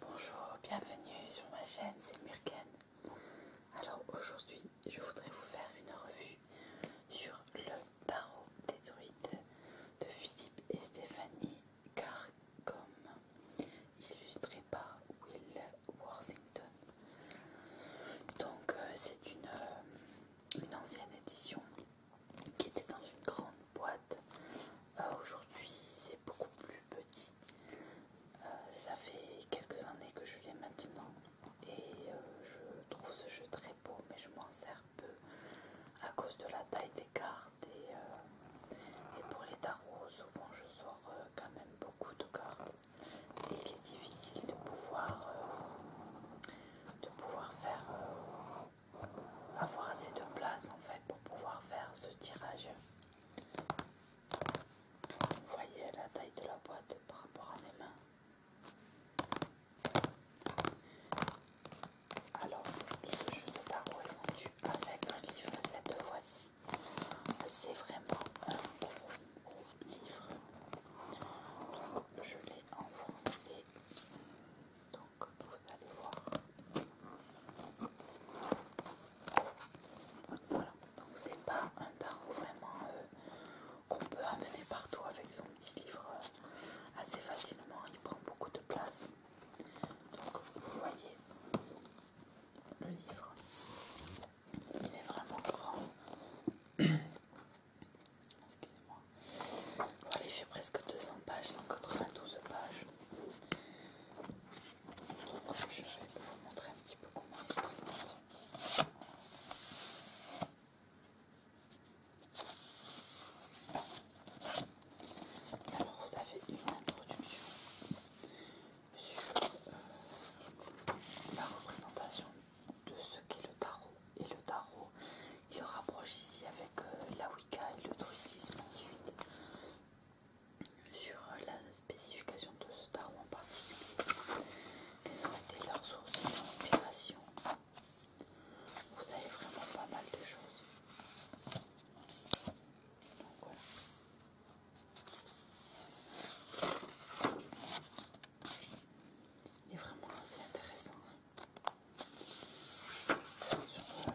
Bonjour, bienvenue sur ma chaîne, c'est Murken. Alors aujourd'hui, je voudrais vous faire une revue sur le tarot des druides de Philippe et Stéphanie Carcom, illustré par Will Worthington. Donc, euh, c'est euh, une ancienne édition qui était dans une grande boîte. Euh, aujourd'hui, c'est beaucoup plus petit. Euh, ça fait quelques années que je l'ai maintenant et euh, je trouve ce jeu très beau, mais je m'en sers peu à cause de la taille des cartes et, pour les tarots, souvent je sors quand même beaucoup de cartes et il est difficile de pouvoir de pouvoir faire euh, avoir assez de place en fait pour pouvoir faire ce tirage. Vous voyez la taille de la boîte par rapport à mes mains. Alors, ce jeu de tarot est vendu avec un livre cette fois-ci. C'est vraiment un gros, gros livre. Donc, je l'ai en français. Donc vous allez voir. Voilà, donc c'est pas un tarot vraiment qu'on peut amener partout avec son petit livre assez facilement, il prend beaucoup de place. Donc vous voyez, le livre, il est vraiment grand. Excusez-moi. Voilà, il fait presque 200 pages, 192 pages. Donc, je vais vous montrer un petit peu comment il se présente. Alors, vous avez une introduction sur euh, la représentation de ce qu'est le tarot et le tarot il rapproche ici avec euh, la Wicca et le druidisme ensuite sur euh, la spécification de ce tarot en particulier quelles ont été leurs sources d'inspiration vous avez vraiment pas mal de choses donc voilà il est vraiment assez intéressant. Hein.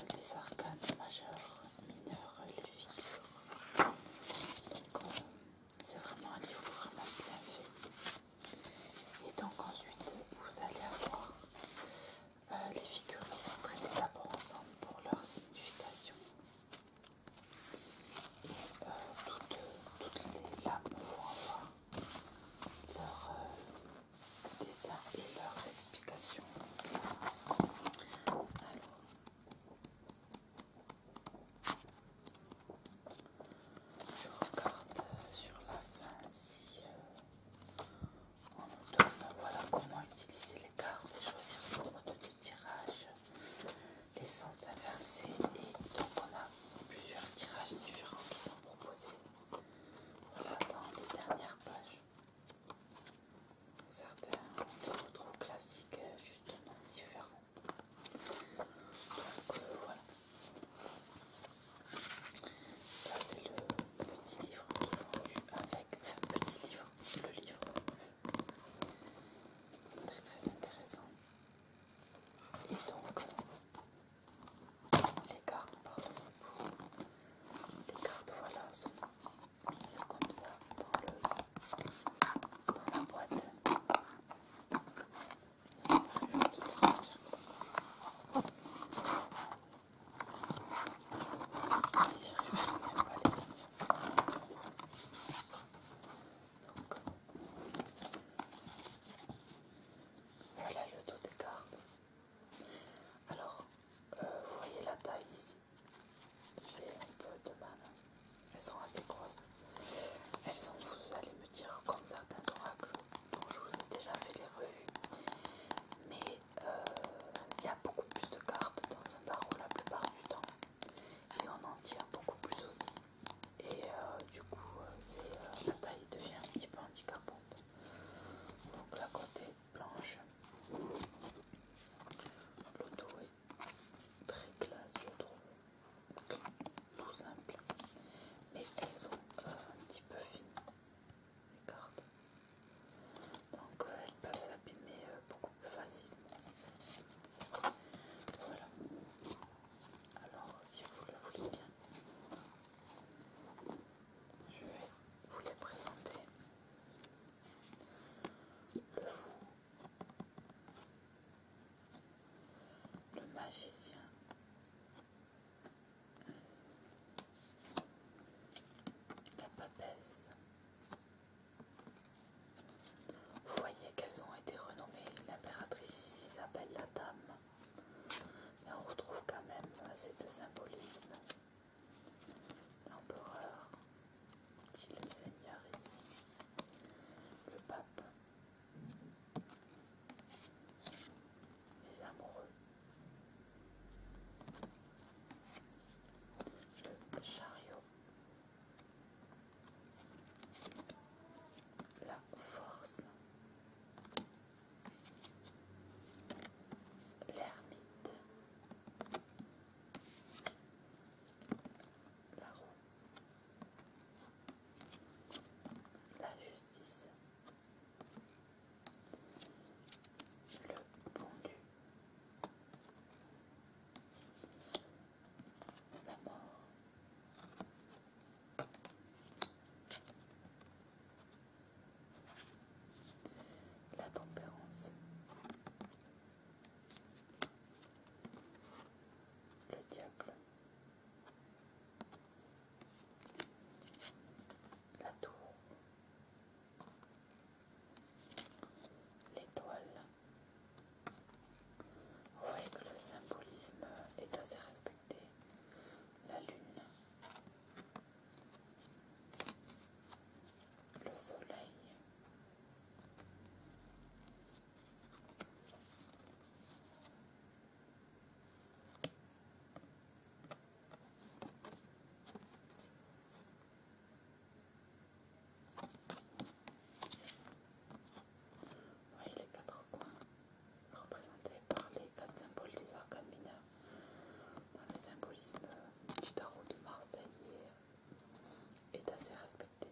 les arcanes majeures, mineures, les figures. Euh, c'est vraiment un livre vraiment bien fait. Et donc, ensuite, vous allez avoir euh, les figures qui sont traitées d'abord ensemble pour leur signification. Euh, toutes, toutes les lames vont avoir leur euh, dessin et leurs explications. Alors. Je regarde euh, sur la fin si on nous donne voilà, comment utiliser les cartes et choisir son mode de tirage, les sens inversés. Et donc on a plusieurs tirages différents qui sont proposés. dans les dernières pages. Certains sont trop classiques, euh, justement différents. Donc euh, voilà. ça c'est le petit livre qui est vendu avec, un petit livre, le livre. Très très intéressant. Et donc, les cartes, pardon, les cartes, voilà, sont mises comme ça dans, le, dans la boîte. Donc, voilà le dos des cartes. Alors, euh, vous voyez la taille ici. J'ai un peu de mal. Elles sont assez grosses. Elles sont, vous allez me dire, comme certains oracles dont je vous ai déjà fait les revues. Mais euh, il y a beaucoup plus de cartes dans un tarot la plupart du temps. Et on en tire beaucoup plus aussi et euh, du coup euh, euh, la taille devient un petit peu handicapante donc la côté blanche dos est très classe je trouve tout simple mais elles sont un petit peu fines les cartes donc elles peuvent s'abîmer beaucoup plus facilement voilà alors, si vous le voulez bien, je vais vous les présenter. Le fou, le magicien, la papesse. Vous voyez qu'elles ont été renommées l'impératrice s'appelle la Dame, on retrouve quand même assez de symbolisme. L'empereur, est le Seigneur ici, le pape, les amoureux, le chariot, la force, l'ermite, la roue, la justice, le bondu la mort, la tempérance. Le diable. La tour. L'étoile. Vous voyez que le symbolisme est assez respecté. La lune, le soleil, voyez les quatre coins représentés par les quatre symboles des arcades mineurs. le symbolisme du tarot de Marseille est assez respecté.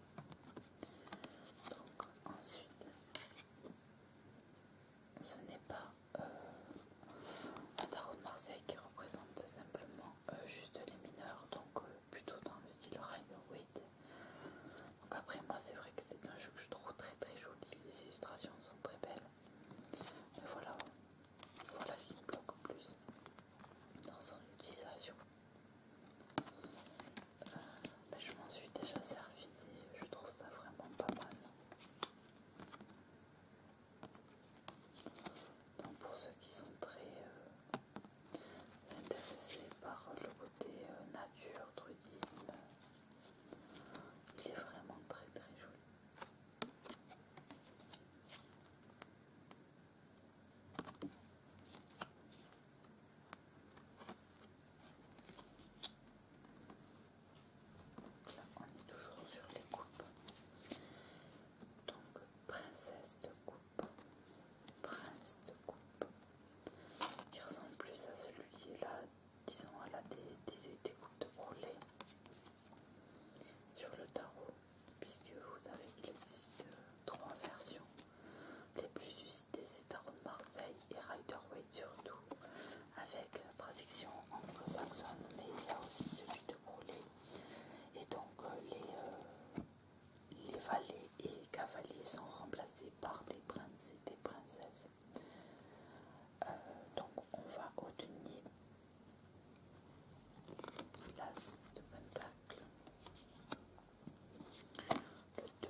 Donc ensuite, ce n'est pas euh, un tarot de Marseille qui représente simplement euh, juste les mineurs, donc euh, plutôt dans le style Rhino donc après moi c'est vrai que c'est un jeu que je trouve très très joli, les illustrations sont très belles. Mais voilà, ce qui me bloque le plus dans son utilisation. Euh, ben, je m'en suis déjà servi je trouve ça vraiment pas mal. Donc pour ceux qui sont très euh, intéressés par le des euh, nature, trudisme. Il est vraiment très très joli. là, on est toujours sur les coupes. Donc, princesse de coupe, prince de coupe, qui ressemble plus à celui là, disons à la découpe de croulet sur le tarot, puisque vous savez qu'il existe euh, trois versions. Les plus suscitées, c'est Tarot de Marseille et Rider Waite surtout, avec la traduction anglo-saxonne, mais il y a aussi celui de brûlé. Et donc, euh, les, euh, les valets et les cavaliers sont remplacés par des princes et des princesses. Euh, donc on va obtenir L'as de pentacle. 2.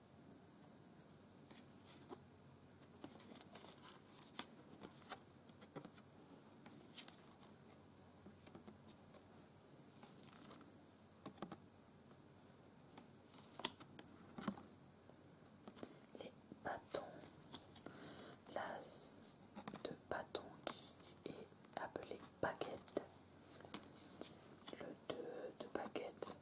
Les bâtons, l'as de bâton qui est appelé baguette, le deux de baguette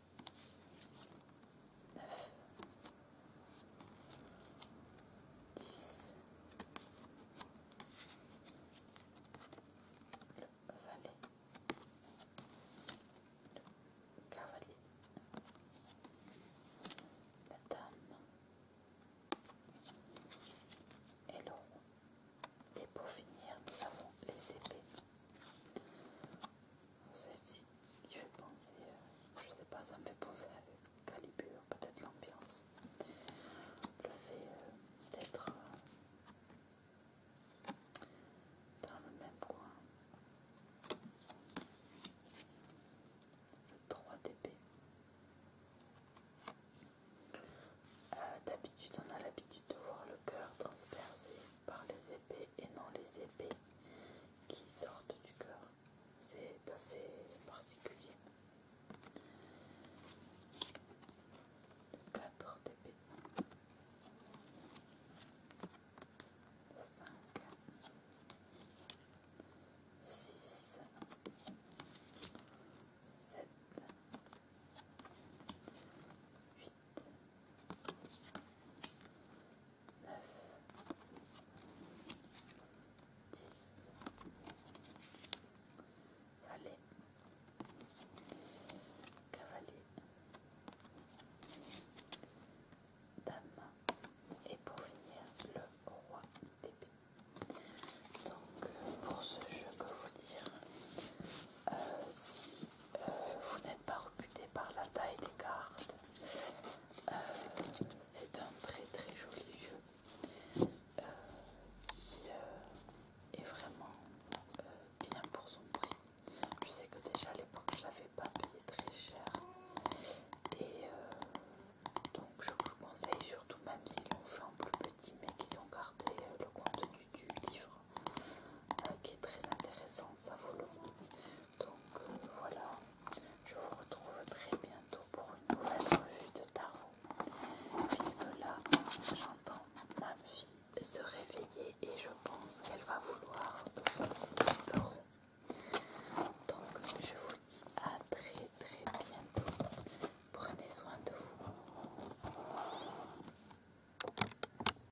9, 10, le valet, le cavalier, la dame et le rouge. Et pour finir, nous avons les épées. Celle-ci qui fait penser, euh, je sais pas, ça me fait penser à Calibur, peut-être l'ambiance. Le fait euh, d'être euh, dans le même coin. Le 3 d'épée. D'habitude, on a l'habitude de voir le cœur transpercé par les épées et non les épées qui sortent du cœur. C'est assez particulier. 4 d'épée. 5 6 7 8 Allez, cavalier, dame, et pour finir le roi d'épée. Donc pour ce jeu, que vous dire si euh, vous n'êtes pas rebuté par la taille des cartes. Euh, c'est un très très joli jeu euh, qui est vraiment bien pour son prix. Je sais que déjà à l'époque je l'avais pas payé très cher et donc je vous le conseille surtout même s'ils l'ont fait en plus petit mais qu'ils ont gardé le contenu du livre euh, qui est très intéressant, ça vaut le Donc euh, voilà, je vous retrouve très bientôt pour une nouvelle revue de tarot. Puisque là, j'entends ma fille se réveiller et je pense qu'elle va vouloir son Donc je vous dis à très très bientôt. Prenez soin de vous.